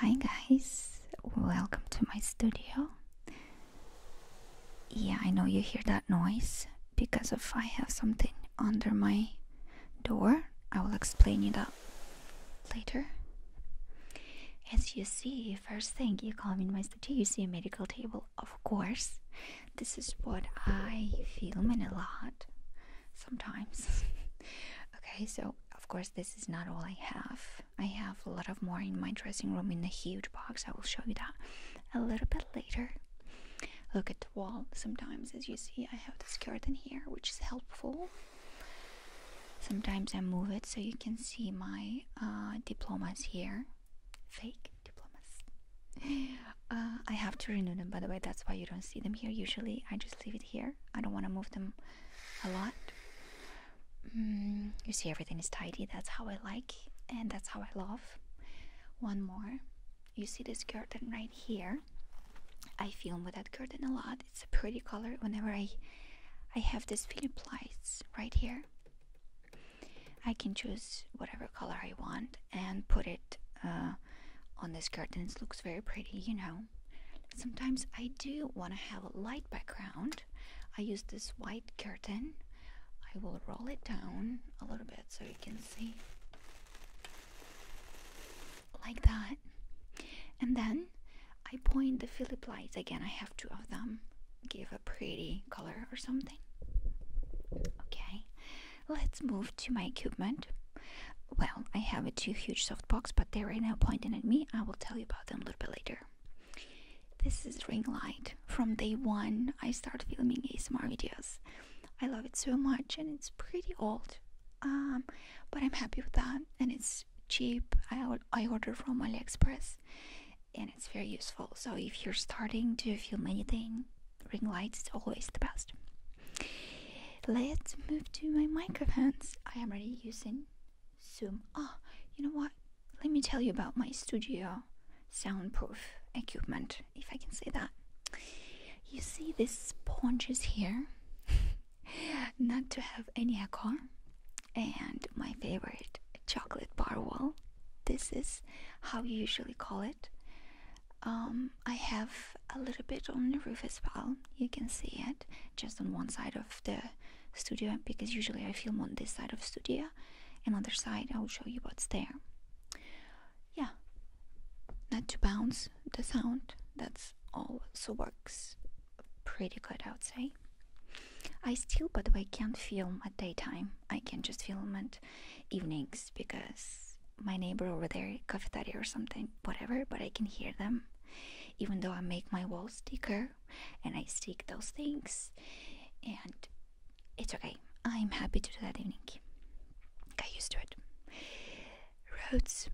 Hi guys, welcome to my studio. Yeah, I know you hear that noise because if I have something under my door, I will explain you that later. As you see, first thing you come in my studio, you see a medical table. Of course, this is what I film in a lot sometimes. okay, so of course this is not all I have. I have a lot of more in my dressing room in a huge box. I will show you that a little bit later. Look at the wall. Sometimes, as you see, I have this curtain here, which is helpful. Sometimes I move it so you can see my uh, diplomas here. Fake diplomas. Uh, I have to renew them, by the way. That's why you don't see them here. Usually, I just leave it here. I don't want to move them a lot. Mm, you see, everything is tidy. That's how I like, and that's how I love. One more. You see this curtain right here. I film with that curtain a lot. It's a pretty color. Whenever I, I have this Philip lights right here. I can choose whatever color I want and put it uh, on this curtain. It looks very pretty, you know. Sometimes I do want to have a light background. I use this white curtain. I will roll it down a little bit so you can see. Like that. And then I point the Philip lights. Again, I have two of them. Give a pretty color or something. Okay. Let's move to my equipment. Well, I have two huge soft boxes, but they are right now pointing at me. I will tell you about them a little bit later. This is ring light. From day one, I start filming ASMR videos. I love it so much, and it's pretty old, um, but I'm happy with that. And it's cheap. I I order from AliExpress, and it's very useful. So if you're starting to film anything, ring light is always the best. Let's move to my microphones. I am already using Zoom. Oh, you know what? Let me tell you about my studio soundproof equipment, if I can say that. You see these sponges here? Not to have any echo. And my favorite chocolate bar wall. This is how you usually call it. Um, I have a little bit on the roof as well. You can see it just on one side of the studio because usually I film on this side of studio. Another side, I will show you what's there. Yeah, not to bounce the sound. That's also works pretty good, I would say. I still, by the way, can't film at daytime. I can just film at evenings because my neighbor over there, cafeteria or something, whatever, but I can hear them. Even though I make my walls thicker and I stick those things, and it's okay. I'm happy to do that evening. Got used to it. Roads,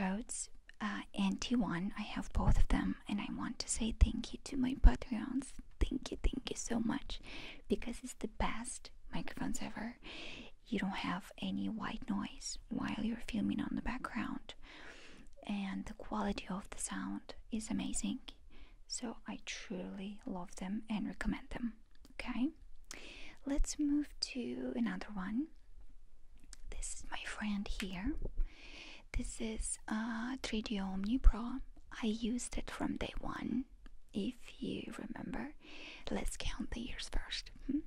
roads, uh, and T1. I have both of them, and I want to say thank you to my Patreons. Thank you, thank you so much, because it's the best microphones ever you don't have any white noise while you're filming on the background and the quality of the sound is amazing so i truly love them and recommend them okay let's move to another one this is my friend here this is a uh, 3d omni pro i used it from day one if you remember, let's count the years first. Hmm?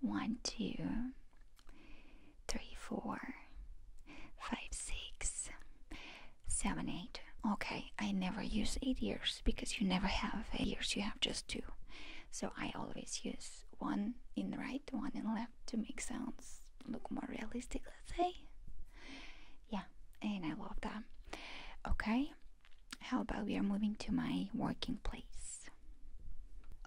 One, two, three, four, five, six, seven, eight. Okay, I never use eight years because you never have eight years, you have just two. So I always use one in the right, one in left to make sounds look more realistic, let's say yeah and i love that okay how about we are moving to my working place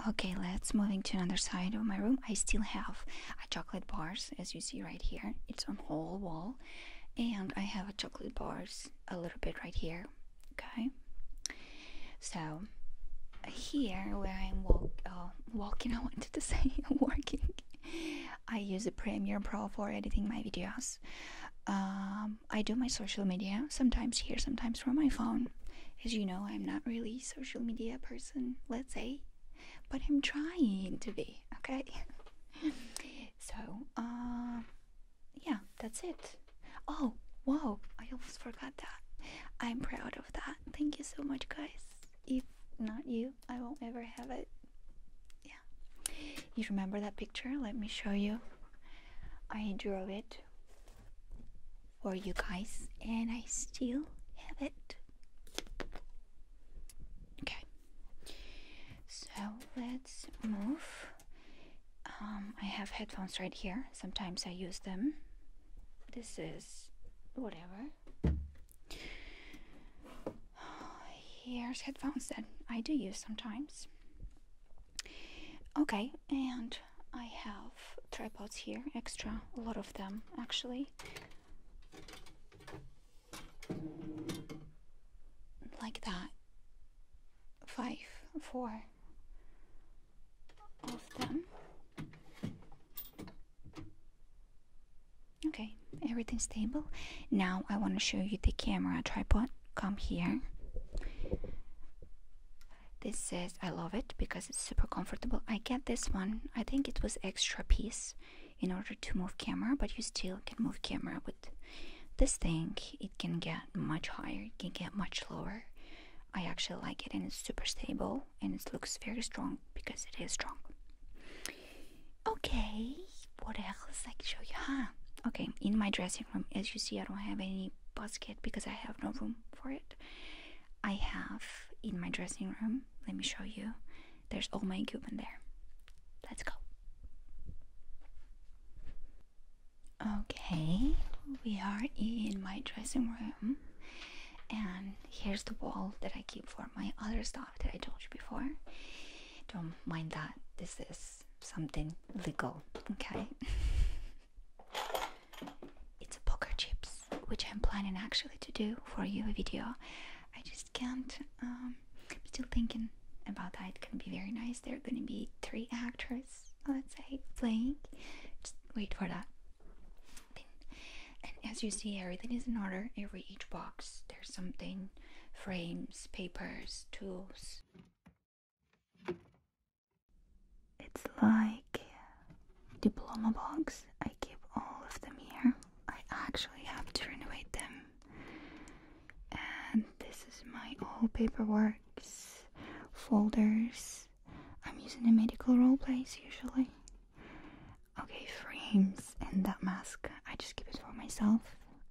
okay let's moving to another side of my room i still have a chocolate bars as you see right here it's on whole wall and i have a chocolate bars a little bit right here okay so here where i'm walk, uh, walking i wanted to say working I use the Premiere Pro for editing my videos. Um, I do my social media sometimes here, sometimes from my phone. As you know, I'm not really social media person, let's say, but I'm trying to be. Okay. so, um, yeah, that's it. Oh, whoa! I almost forgot that. I'm proud of that. Thank you so much, guys if not you, I won't ever have it. Yeah. You remember that picture? Let me show you. I drew it for you guys, and I still have it. Okay. So let's move. Um, I have headphones right here. Sometimes I use them. This is whatever. Here's headphones that I do use sometimes. Okay, and I have tripods here, extra, a lot of them actually. Like that. Five, four of them. Okay, everything's stable. Now I want to show you the camera tripod. Come here. This says I love it because it's super comfortable. I get this one. I think it was extra piece in order to move camera, but you still can move camera with this thing. It can get much higher, it can get much lower. I actually like it and it's super stable and it looks very strong because it is strong. Okay, what else I can show you? Huh? Okay, in my dressing room, as you see, I don't have any basket because I have no room for it. I have in my dressing room, let me show you, there's all my equipment there. Let's go. Okay, we are in my dressing room. And here's the wall that I keep for my other stuff that I told you before. Don't mind that, this is something legal, okay? it's a poker chips, which I'm planning actually to do for you a video. I just can't, um, still thinking about that. It's gonna be very nice. There are gonna be three actors, let's say, playing. Just wait for that. And as you see, everything is in order. Every each box, there's something frames, papers, tools. It's like diploma box. I keep all of them here. I actually have to renovate them. And this is my old paperwork, folders. I'm using a medical role plays usually. Okay, frames and that mask. I just keep it for myself.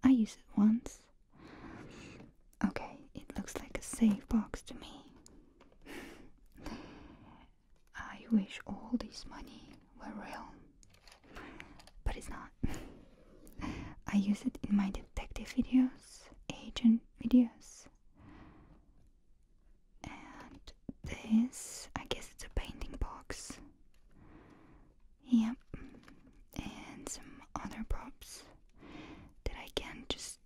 I use it once. Okay, it looks like a safe box to me. I wish all this money were real, but it's not. I use it in my detective videos, agent videos. And this, I guess it's a painting box. Yep. And some other props that I can just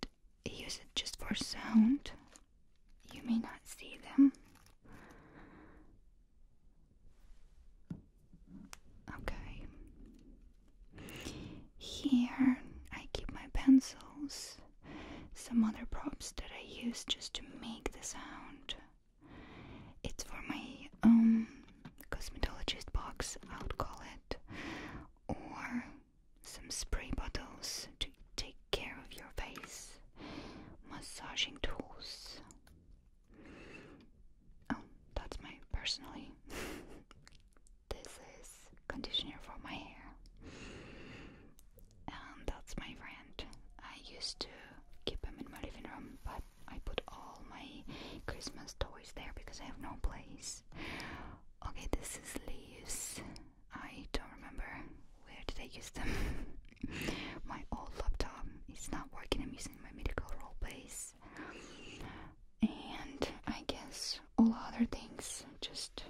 use it just for sound. You may not see them. Okay. Here I keep my pencils some other props that I use just to make the sound. It's for my um cosmetologist box, I would call it, or some spray bottles to take care of your face, massaging tools. Oh, that's my personally this is conditioner for my hair. And that's my friend. I used to keep them in my living room, but I put all my Christmas toys there because I have no place. Okay, this is leaves. I don't remember where did I use them. my old laptop is not working. I'm using my medical roll base, and I guess all other things, just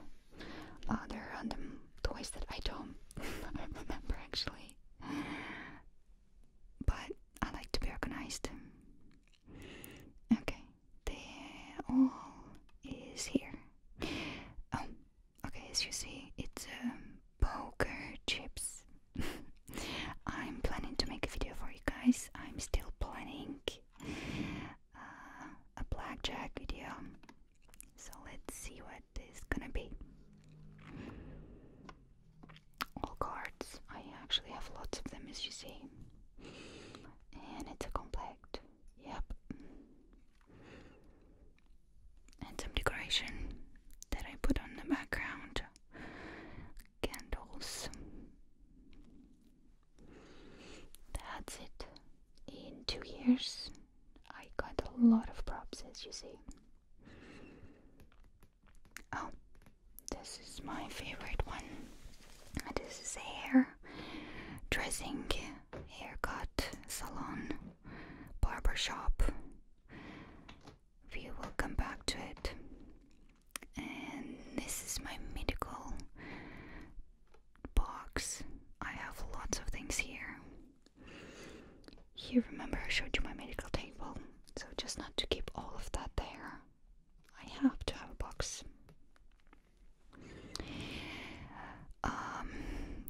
other random toys that I don't remember actually. But I like to be organized. Okay, the all is here. Oh, okay, as you see, it's um, poker chips. I'm planning to make a video for you guys. I'm still planning. Uh, a blackjack video. So let's see what this is gonna be. All cards. I actually have lots of them, as you see. And it's a complex. Yep. And some decoration that I put on the background. Candles. That's it. In two years, I got a lot of props, as you see. Oh, this is my favorite one. This is hair dressing, haircut, salon, barber shop. We will come back to it and this is my medical box. I have lots of things here. Here, remember, I showed you my medical table, so just not to keep all of that there. I have to have a box. Um,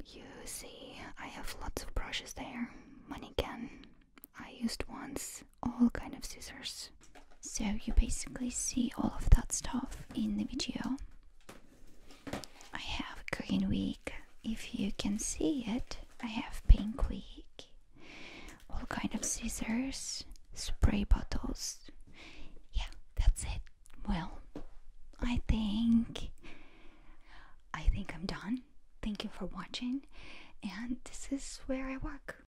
you see, I have lots of brushes there. Money can. I used once all kind of scissors. So you basically see all of that stuff in the video. I have green week. If you can see it, I have pink week. All kind of scissors, spray bottles. Yeah, that's it. Well, I think I think I'm done. Thank you for watching. And this is where I work.